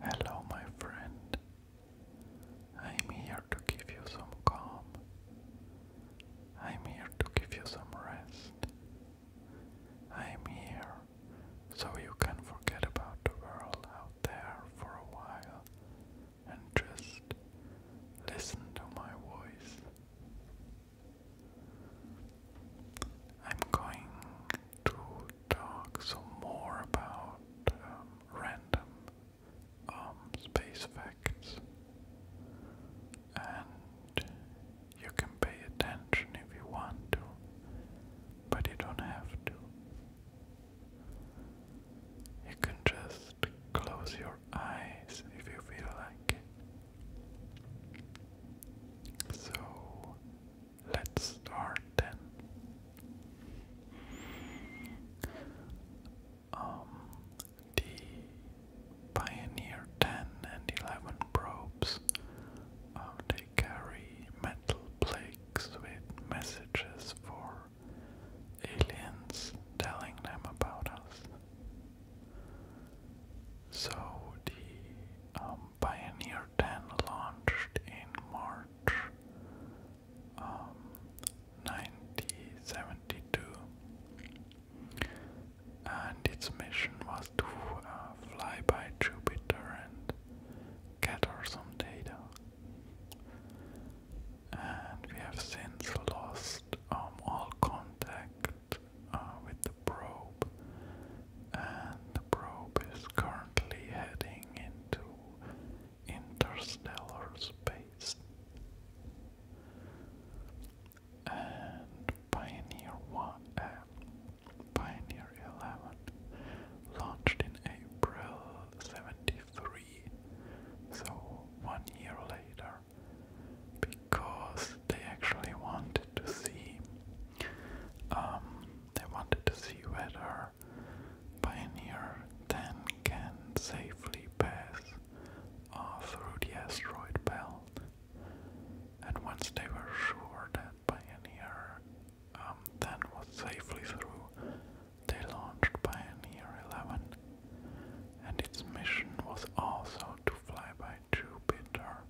Hello, my friend. I'm here to give you some calm. I'm here to give you some rest. I'm here so you can forget about the world out there for a while and just listen to my voice. I'm going to talk some more about um, random um, space facts, and you can pay attention if you want to, but you don't have to. You can just close your eyes if you feel like it. So, Let's start then. Um, the Pioneer 10 and 11 probes, uh, they carry metal plaques with messages for aliens telling them about us. So the um, Pioneer 10 launched in March 1972, um, and its mission was to uh, fly by Jupiter and gather some data. And we have since lost um, all contact uh, with the probe, and probe is currently heading into interstellar space. And Pioneer One, uh, Pioneer Eleven, launched in April '73, so one year later, because they actually wanted to see um, they wanted to see whether Pioneer 10 can safely pass through the asteroid belt. And once they were sure that Pioneer um, 10 was safely through, they launched Pioneer 11. And its mission was also to fly by Jupiter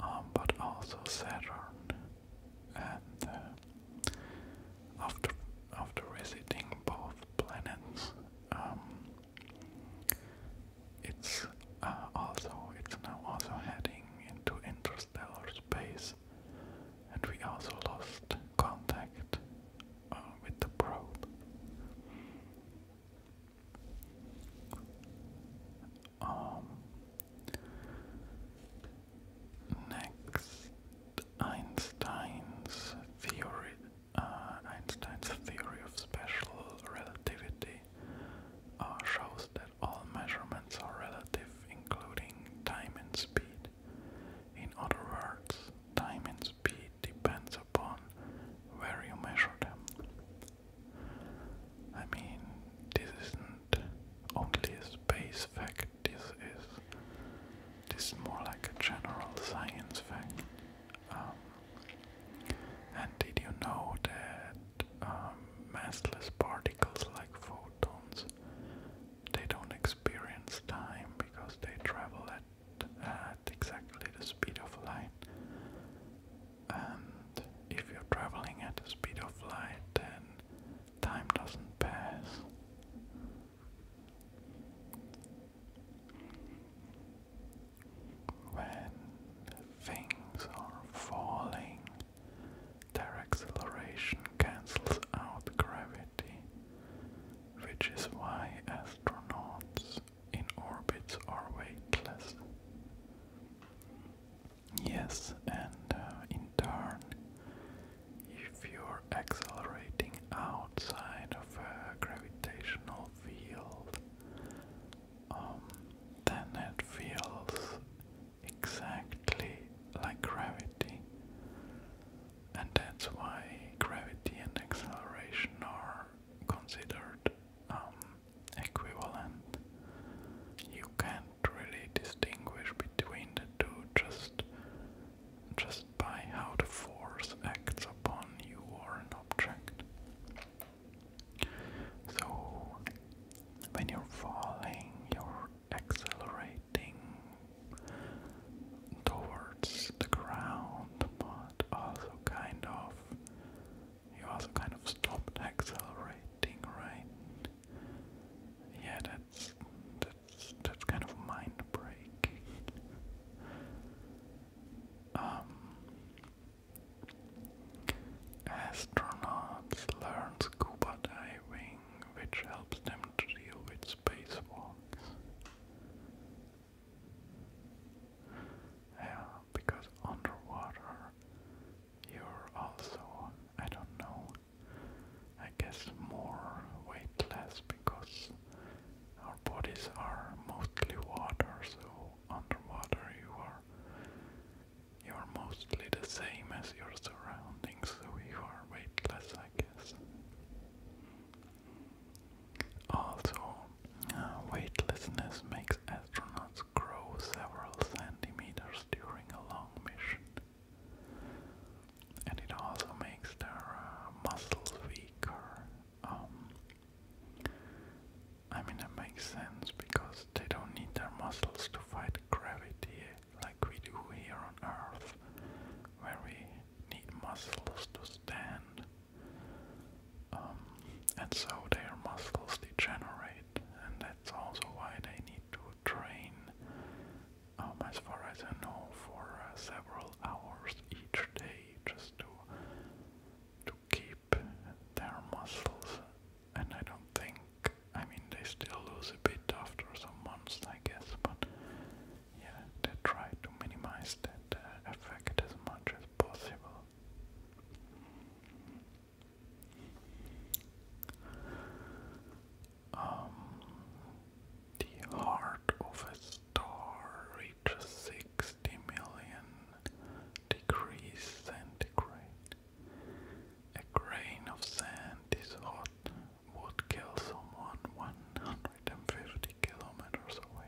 um, but also Saturn. And uh, after after visiting both planets, um, it's uh, also it's now also heading into interstellar space, and we also lost contact uh, with the probe. Um, next, Einstein's theory, uh, Einstein's theory of special relativity, uh, shows that all measurements are relative, including time and speed. In other words, time and speed depends upon where you measure them. I mean, this isn't only a space fact, this is this is more like a general science fact. Um, and did you know that um, massless particles like photons they don't experience time because they travel at at exactly the speed of light and if you're traveling at the speed of light, then time doesn't pass. When things are falling, their acceleration cancels out gravity, which is why astronauts in orbits are weightless. Yes, and uh, in turn, if you're accelerating outside of a gravitational field, um, then it feels exactly like gravity, and that's why gravity and acceleration are considered um, equivalent. You can't really distinguish between the two just just by how the force acts upon you or an object. So when you're falling, you're accelerating towards the ground, but also kind of you also kind of stopped accelerating, right? Yeah, that's that's that's kind of mind breaking. Um, astronauts learn scuba diving, which helps them to deal with spacewalks. Yeah, because underwater you're also, I don't know, I guess more weightless because our bodies are mostly water, so underwater you are you are mostly the same as your surroundings, so you are weightless, I guess. Also, uh, weightlessness makes astronauts grow several centimeters during a long mission. And it also makes their uh, muscles weaker. Um, I mean, it makes sense because they don't need their muscles to fight gravity like we do here on Earth, where we need muscles to stand. Um, and so their muscles degenerate, and that's also why they need to train, um, as far as I know, for uh, several hours each day, just to to keep their muscles. And I don't think, I mean, they still lose a bit after some months, I guess, but yeah, they try to minimize that uh, effect as much as possible. Um, the heart of a star reaches 60 million degrees centigrade. A grain of sand is hot, would kill someone 150 kilometers away.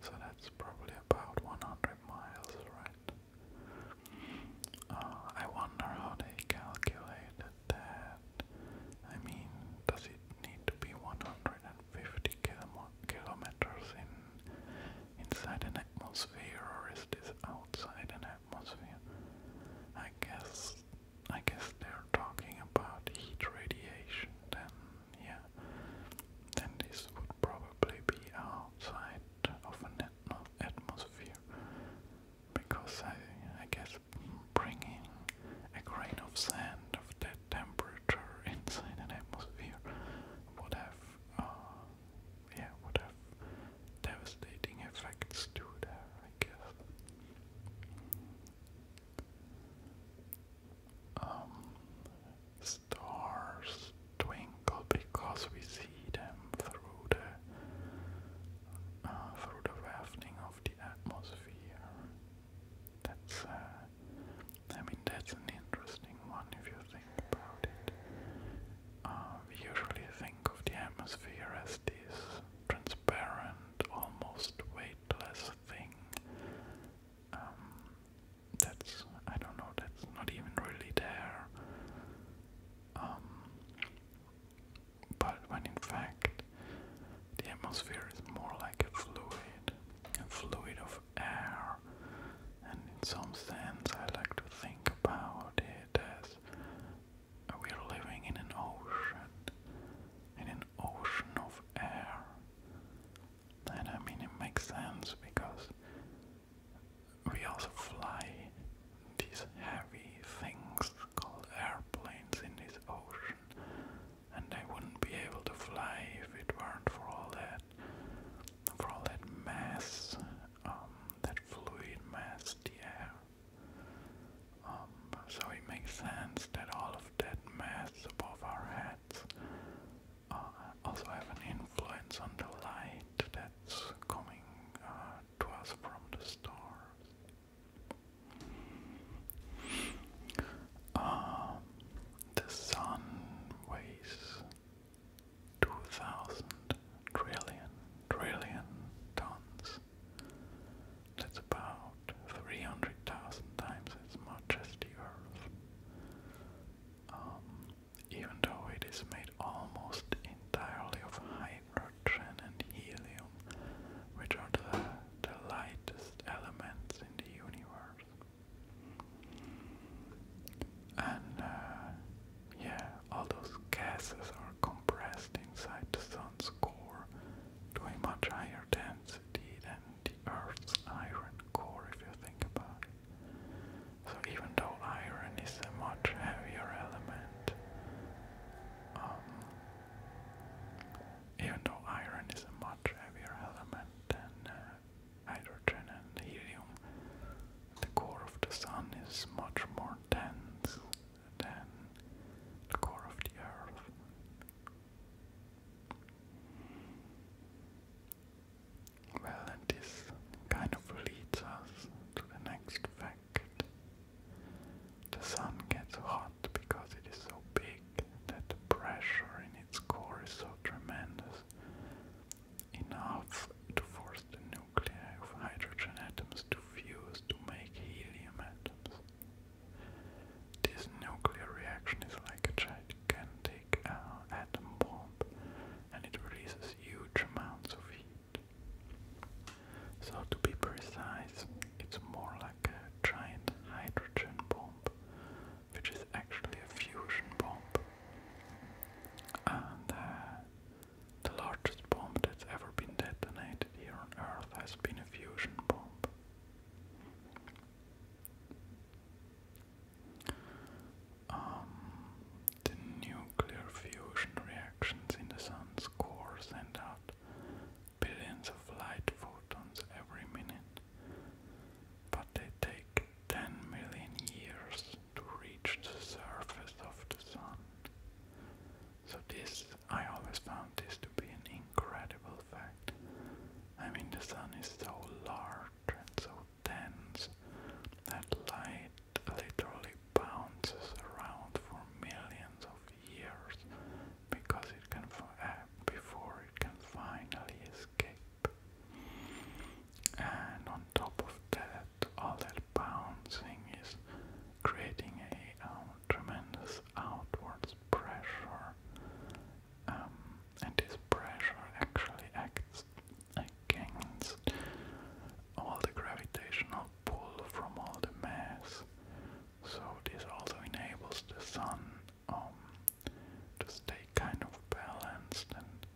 So that's probably about 100 miles, right? Uh, I wonder how they calculated that. I mean, does it need to be 150 kilo kilometers in inside an atmosphere, or is this outside an atmosphere? I guess I guess they're talking about heat radiation. Then, yeah, then this would probably be outside of an atmosphere because I, I guess bringing a grain of sand of that temperature inside an atmosphere would have, uh, yeah, would have devastating effects to there, I guess. Um, stars twinkle because we see them through the uh, through the wafting of the atmosphere. That's uh, I mean that's an interesting one if you think about it. Uh, we usually think of the atmosphere as this transparent, almost weightless thing. Um, that's I don't know, that's not even really there. Um, but when in fact the atmosphere is more like a fluid, a fluid of air, and in some sense I like to think about it as we're living in an ocean, in an ocean of air. And I mean, it makes sense because we also fly these heavy things called airplanes in this ocean, and I wouldn't be able to fly if it weren't for all that, for all that mass, um, that fluid mass, the air. Um, so it makes sense that all of that mass above our heads uh, also have an influence on the light that's coming uh, to us from the stars. Um, the sun weighs 2000 trillion trillion tons. That's about 300,000 times as much as the Earth. Um, even though it is made almost entirely of hydrogen and helium, which are the, the lightest elements in the universe. And uh, yeah, all those gases are compressed inside the sun's core to a much higher density than the Earth's iron core, if you think about it. So even though iron is a much heavier element, um, even though iron is a much heavier element than uh, hydrogen and helium, the core of the sun is much more dense than the core of the earth. Well, this kind of leads us to the next fact. The Sun gets hot because it is so big that the pressure in its core is so tremendous, enough to force the nuclei of hydrogen atoms to fuse to make helium atoms. This nuclear reaction is like a gigantic big uh, atom bomb and it releases huge amounts of heat. So, to be precise, it's more like a giant hydrogen bomb, which is actually a fusion bomb. And uh, the largest bomb that's ever been detonated here on Earth has been a fusion bomb. Um, the nuclear fusion reactions in the sun's core send out billions of light photons every minute, but they take 10 million years to reach the surface of the sun. So this, I always found this to be an incredible fact. I mean, the sun is so large and so tens that light literally bounces around for millions of years because it can uh, before it can finally escape. And on top of that, all that bouncing is creating a um, tremendous outwards pressure um, and this pressure actually acts against all the gravitational pull from all the mass. So this also enables the sun um, to stay kind of balanced and,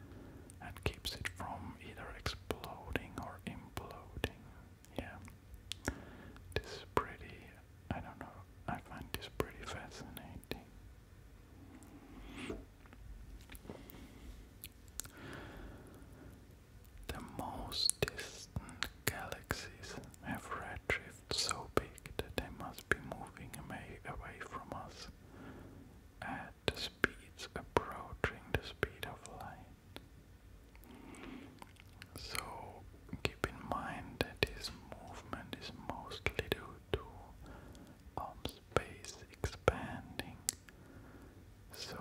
and keeps it from either exploding or imploding. Yeah, this is pretty, I don't know, I find this pretty fascinating. The most distant galaxies have redshifts so big that they must be moving away from us at speeds approaching the speed of light. So keep in mind that this movement is mostly due to um, space expanding. So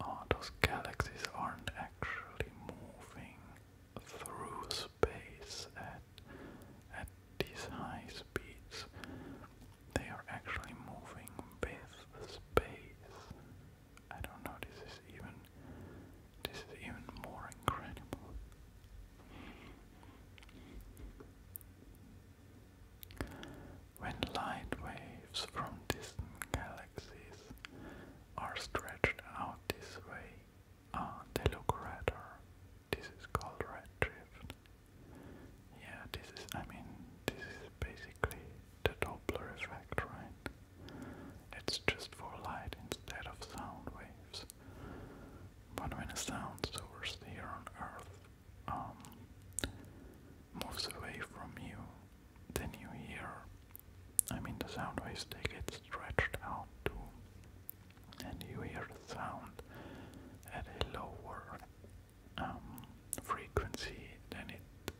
uh, those galaxies aren't actually moving through space at at these high speeds. They are actually moving with space. I don't know. This is even this is even more incredible. When light waves from distant galaxies are stretched out this way, ah, they look redder. This is called red Yeah, this is, I mean, this is basically the Doppler effect, right? It's just for light instead of sound waves. But when a sound source here on Earth um, moves away from you, then you hear. I mean, the sound waves they get stretched out too, and you hear the sound at a lower um, frequency than it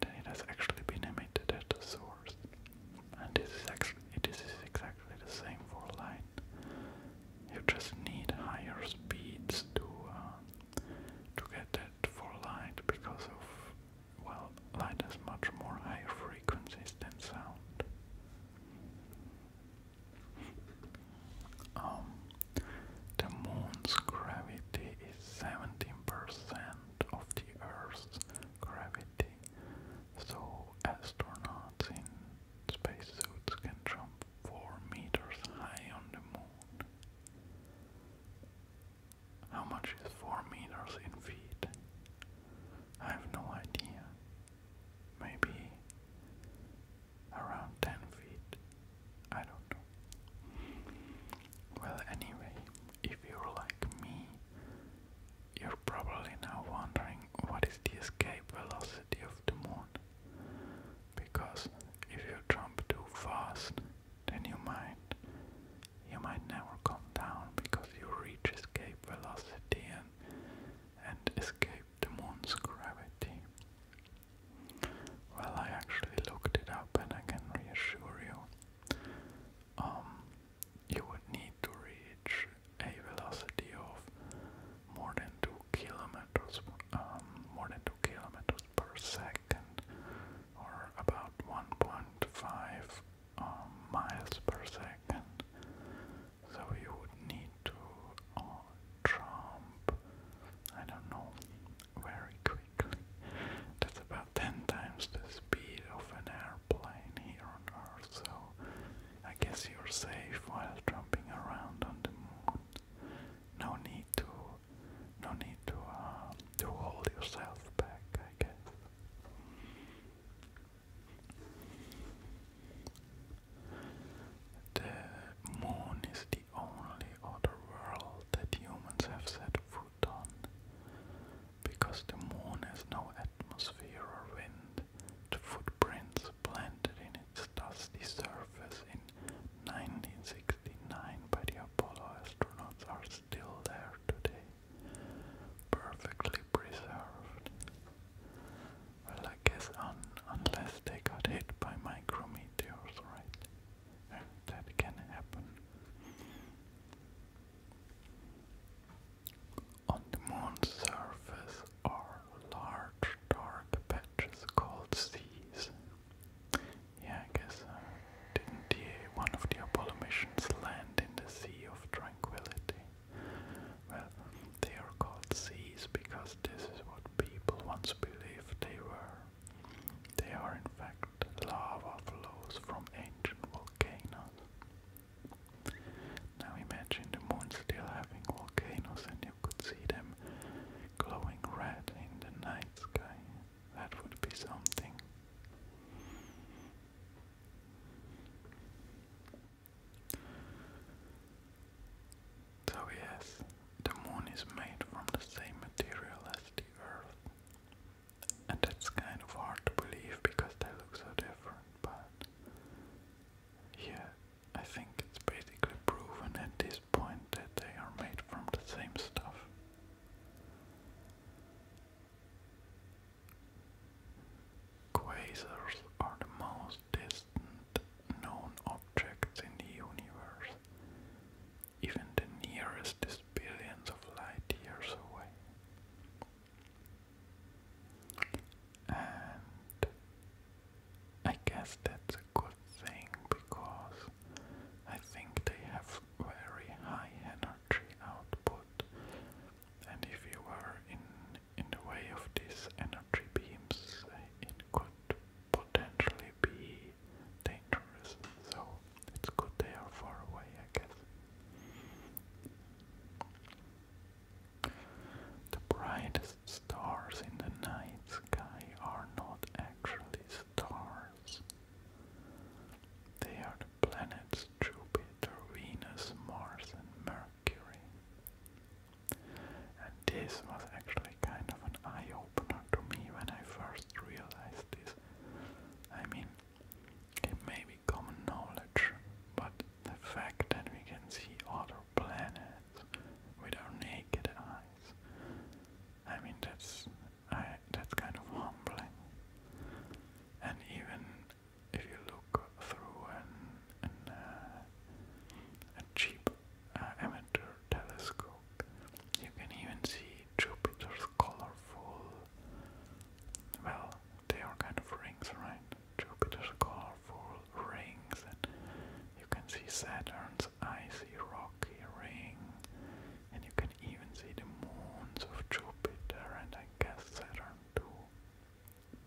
than it has actually been emitted at the source and this is actually it is exactly the same for light. You just need higher speeds to uh, to get that for light because of well, light has much more higher frequencies than sound. Um, the moon's gravity is 17% of the Earth's gravity, so astronauts in spacesuits can jump 4 meters high on the moon. How much is 4 meters in feet? I have no idea. Maybe around 10 feet. I don't know. Well, anyway, if you're like me you're probably now wondering what is the escape velocity of the moon, because if you jump too fast, then you might you might never come down because you reach escape velocity and and escape the moon's gravity. Well, I actually looked it up, and I can reassure you. Um, you would need to reach a velocity of more than 2 kilometers um, more than 2 kilometers per second or about 1.5 um, miles per second so you would need to uh, jump I don't know very quickly that's about 10 times the speed of an airplane here on earth so I guess you're safe while jumping around on the moon. No need to, no need to, uh, to hold yourself back. I guess. The moon is the only other world that humans have set foot on. Because the moon has no atmosphere or wind, the footprints planted in its dusty surface in 1969 by the Apollo astronauts are still there today, perfectly preserved. Well, I guess un unless they got hit by micrometeors, right? that can happen. On the moon's surface are large dark patches called seas. Yeah, I guess uh, didn't the, one of the Apollo missions land in the Sea of Tranquility? Well, they are called seas because this is what people once believed they were. They are in fact lava flows from ancient volcanoes. Now imagine the moon still having volcanoes and you could see them glowing red in the night sky. That would be something. So yes, the moon is made from the same material as the earth. And it's kind of hard to believe because they look so different but yeah, I think it's basically proven at this point that they are made from the same stuff. Quasars are the most distant known objects in the universe. Even the nearest is billions of light years away. And I guess that's a good thing because I think they have very high energy output. And if you were in in the way of these energy beams, it could potentially be dangerous. So it's good they are far away, I guess. The brightest stars in the night sky are not actually stars. They are the planets Jupiter, Venus, Mars and Mercury. And this was actually kind of an eye-opener to me when I first realized this. I mean, it may be common knowledge, but the fact that we can see other planets with our naked eyes, I mean that's that's kind of humbling. And even if you look through an, uh, a cheap uh, amateur telescope, you can even see Jupiter's colorful well, they are kind of rings, right? Jupiter's core for rings, and you can see Saturn's icy rocky ring, and you can even see the moons of Jupiter and I guess Saturn too.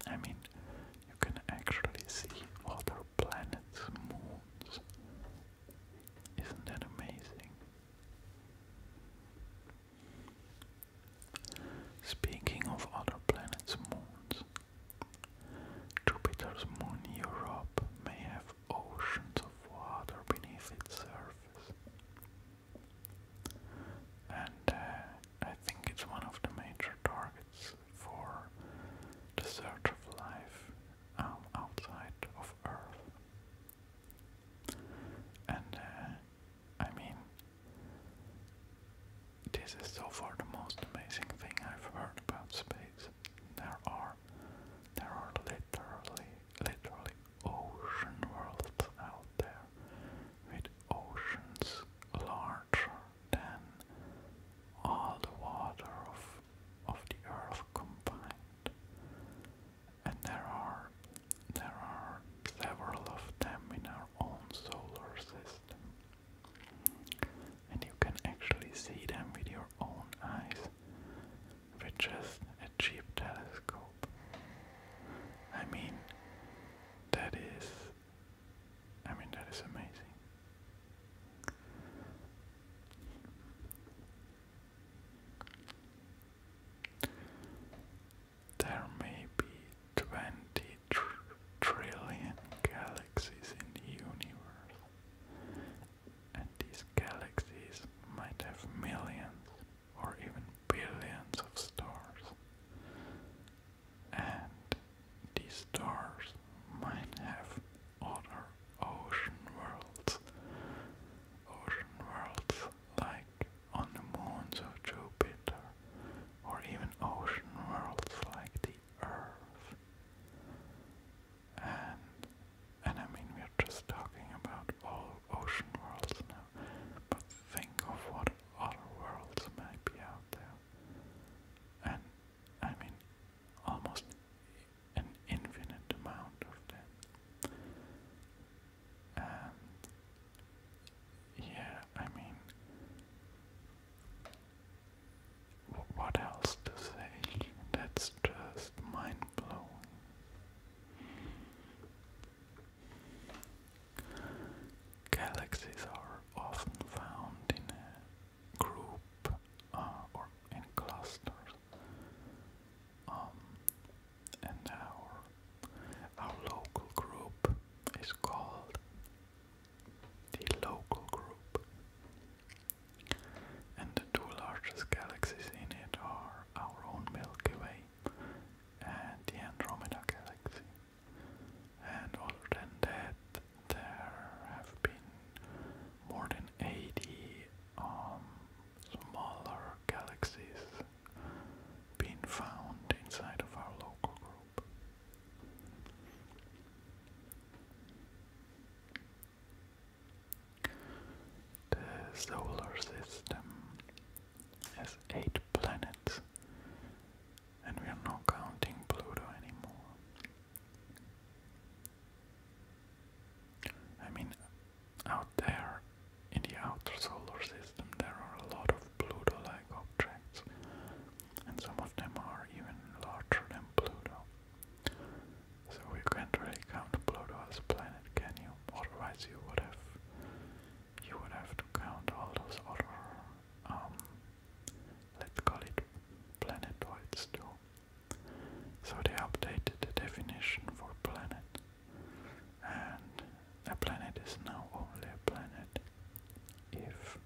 I mean, you can actually see other planets' moons. Isn't that amazing? Speaking of other planets' moons, Jupiter's moon Europe may have oceans of water beneath its surface. And uh, I think it's one of the major targets for the search of life um, outside of Earth. And uh, I mean, this is so far the most amazing thing I've heard about space. There are, there are literally, literally ocean worlds out there, with oceans larger than all the water of of the earth combined and there are there are several of them in our own solar system. And you can actually see them with your own eyes with just a cheap telescope. I mean that is I mean that is amazing. There may be 20 trillion galaxies in the universe, and these galaxies might have millions or even billions of stars, and these stars might have other ocean worlds, ocean worlds like on the moons of Jupiter, or even ocean worlds like the Earth. And, and I mean, we're just talking about all ocean worlds now, but think of what other worlds might be out there. And, I mean, almost an infinite amount of them yeah, I mean, what else to say? That's just mind blowing. Galaxies are often found in group uh, or in clusters. Um, and our, our local group is called the local group. And the two largest galaxies in it are our own Milky Way and the Andromeda Galaxy. And other than that, there have been more than 80 um, smaller galaxies been found inside of our local group. The solar system has eight planets, and we are not counting Pluto anymore. I mean, out there in the outer solar system, there are a lot of Pluto like objects, and some of them are even larger than Pluto. So we can't really count Pluto as a planet, can you? Otherwise, you would have you would have to count all those other um, let's call it planetoids too. So they updated the definition for planet and a planet is now only a planet if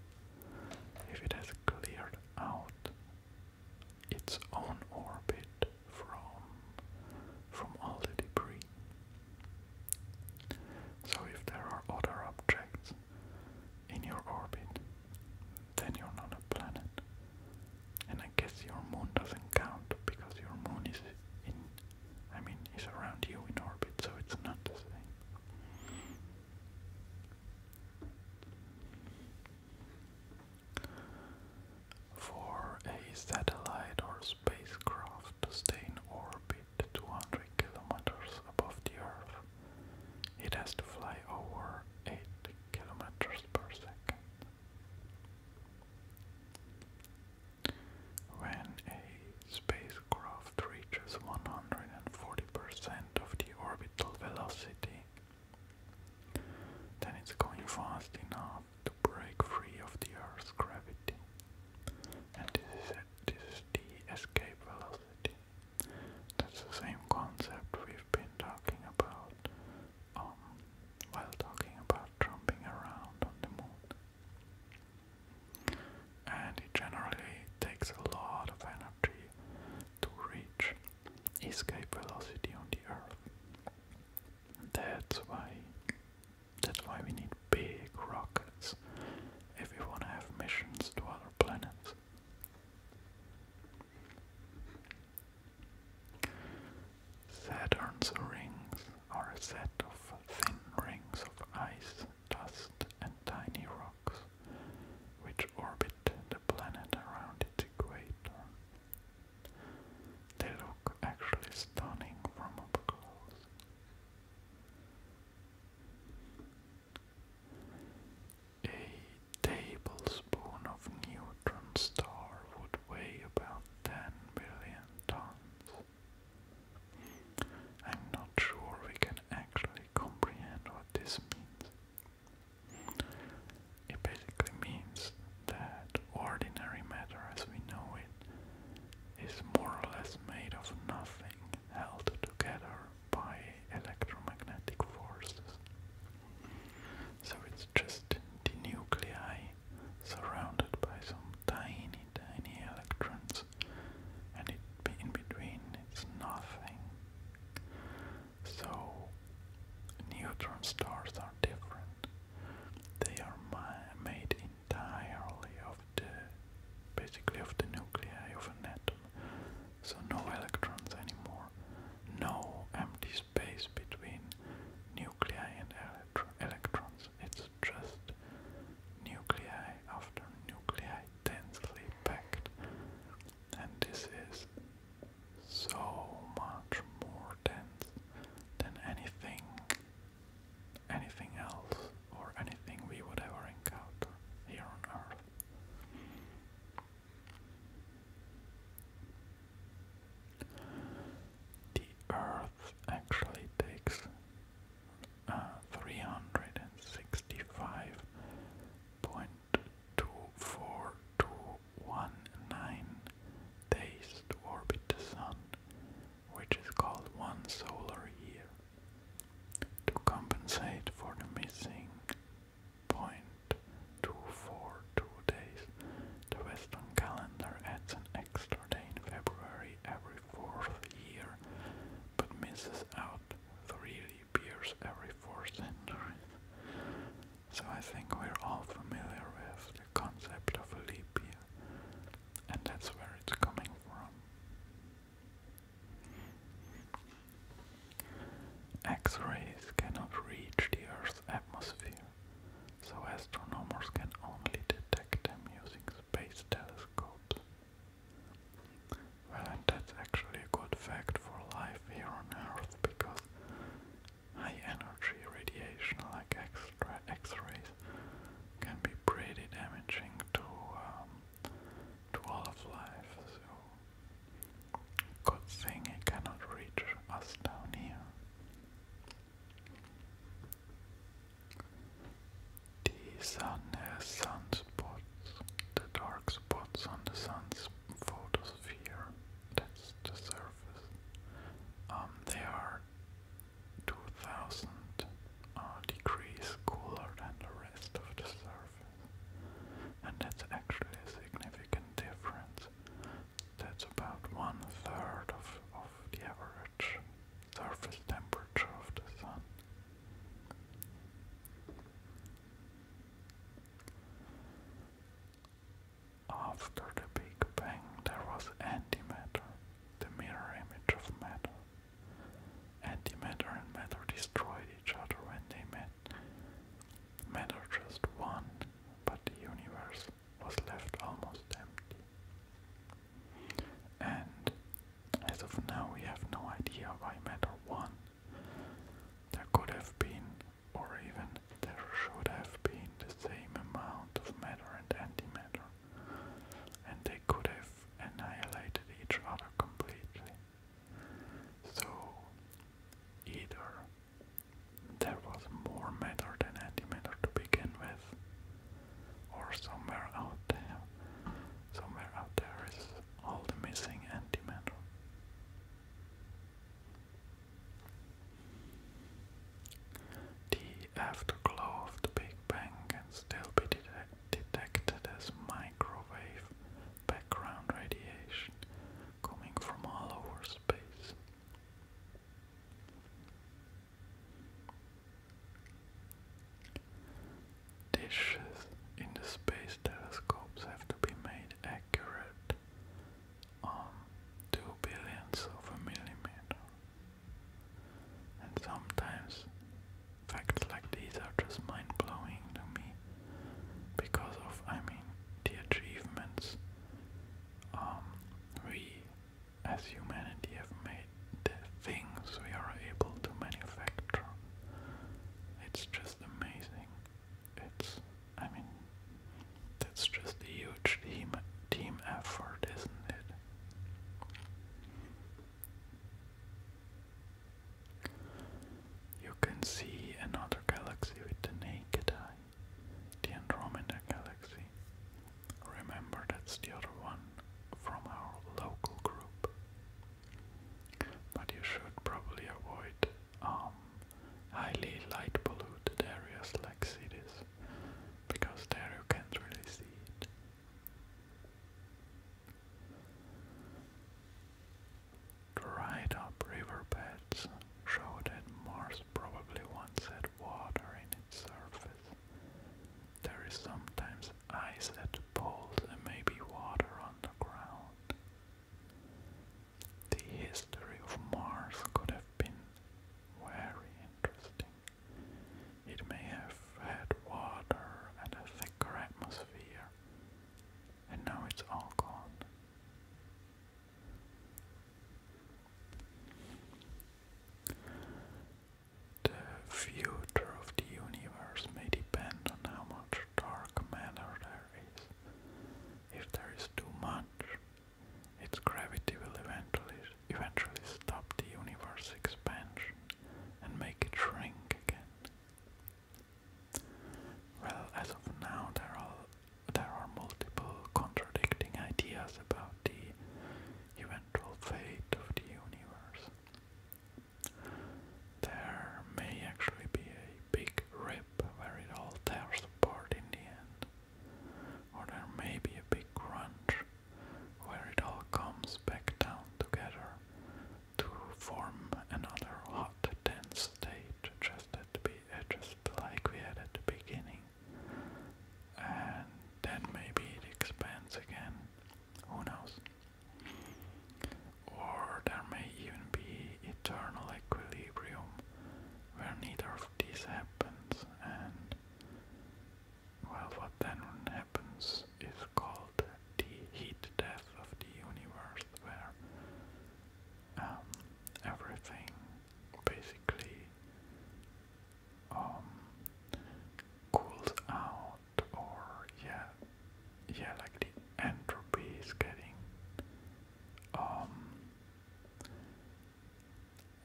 if it has cleared out its own orbit from from all the debris. So if there are other objects in your orbit, then you're not a planet. And I guess your moon doesn't count because your moon is in I mean, he's around you in orbit, so it's not the same. For a satellite or spacecraft to stay in orbit 200 kilometers above the Earth, it has to fly over 8 kilometers per second. When a spacecraft reaches 140% of the orbital velocity, then it's going fast enough to break free of the Earth's gravity. And this is, this is the escape velocity. That's the same concept we've been talking about um, while talking about jumping around on the moon and it generally takes a lot of energy to reach escape velocity on the Earth. That's why that's why we need big rockets if we want to have missions to other planets. Saturn's rings are a set of thin rings of ice, dust and tiny rocks which orbit the planet around its equator. They look actually stunning from up close. A tablespoon of neutron star would weigh about 10 billion tons. I'm not sure we can actually comprehend what this means. It basically means that ordinary matter as we know it is more or less made of nothing held together by electromagnetic forces. So it's just the nuclei surrounded by some tiny, tiny electrons, and it, in between it's nothing. So, neutron stars are different. They are made entirely of the, basically of the nuclei of an atom. So no electrons anymore, no empty space between nuclei and electrons. It's just nuclei after nuclei densely packed. And this is so much more dense than anything anything else or anything we would ever encounter here on Earth. The Earth actually takes uh, 365.24219 days to orbit the Sun, which is called one solar year. To compensate for the missing 0.242 days, the Western calendar adds an extra February every fourth year, but misses out three leap years every four centuries. So I think we're all familiar with the concept of a leap year, and that's where it's coming from. X-rays cannot reach the Earth's atmosphere so astronomers can only detect them using space telescopes. Well, that's actually a good fact for life here on Earth because high energy radiation like X-rays can be pretty damaging to, um, to all of life. So, good thing it cannot reach us down here. The sun has sunspots, the dark spots on the sun's photosphere, that's the surface. Um, they are 2000 uh, degrees cooler than the rest of the surface. And that's actually a significant difference. That's about one third of, of the average surface temperature of the Sun. After the Big Bang, there was antimatter, the mirror image of matter. Antimatter and matter destroyed each other when they met. Matter just won, but the universe was left almost empty. And as of now, we have no idea why matter won. There could have been, or even there should have been, the same amount of matter and antimatter, and they could have annihilated each other completely. So, either there was more matter than antimatter to begin with, or somewhere out there. Somewhere out there is all the missing antimatter. The afterglow of the Big Bang can still be detected as microwave background radiation coming from all over space. Dishes in the space telescopes have to be made accurate on two billionths of a millimeter. And sometimes facts like these are just mind blowing to me because of, I mean, the achievements um, we, as humanity, have made the things we are able to manufacture. It's just amazing. It's, I mean, that's just a huge team, team effort, isn't it? You can see another galaxy with the naked eye the Andromeda Galaxy. Remember, that's the other one from our local group. But you should probably avoid um, highly light polluted areas like cities, because there you can't really see it. Dried up river beds show more probably once had water in its surface. There is sometimes ice at the and maybe water on The history of Mars could have been very interesting. It may have had water and a thicker atmosphere, and now it's all gone. The future of the universe may depend on how much dark matter there is. If there is too much, its gravity will eventually eventually stop the universe's expansion and make it shrink again. Well, as of now, there are there are multiple contradicting ideas about the eventual fate of the universe. There may actually be a big rip where it all tears apart in the end, or there may be a big crunch where it all comes back down together to form another hot, dense state just at be, uh, like we had at the beginning and then maybe it expands again. Who knows? Or there may even be eternal equilibrium where neither of these happens, and well, what then happens is called the heat death of the universe, where um, everything basically um, cools out or yeah yeah like the entropy is getting um,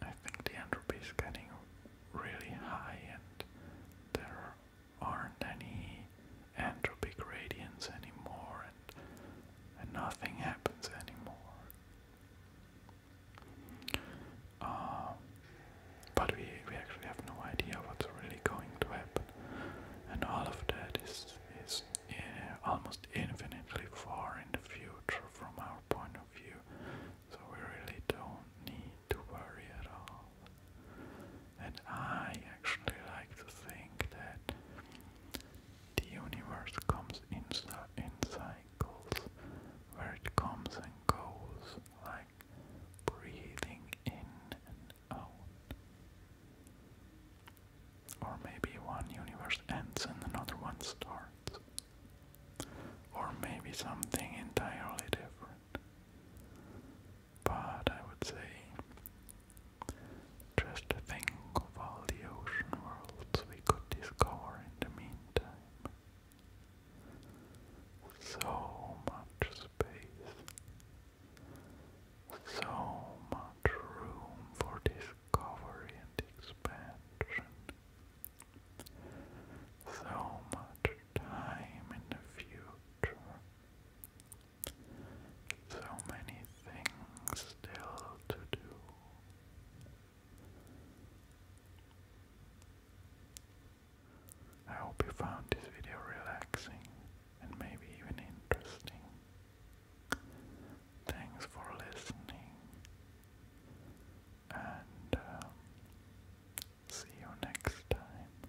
I think the entropy is getting really high and there aren't any entropic gradients anymore and nothing happens anymore uh, but we, we actually have no idea what's really going to happen. And all of that is, is almost infinitely far in the future from our point of view. So we really don't need to worry at all. And I actually like to think that the universe comes in, in cycles where it comes and goes like breathing in and out. Or maybe one universe ends and another one starts. Or maybe something entirely different. But I would say just think of all the ocean worlds we could discover in the meantime. So much space, so much room for discovery and expansion, so much time in the future, so many things still to do. I hope you found this video relaxing and maybe even interesting. Thanks for listening and um, see you next time.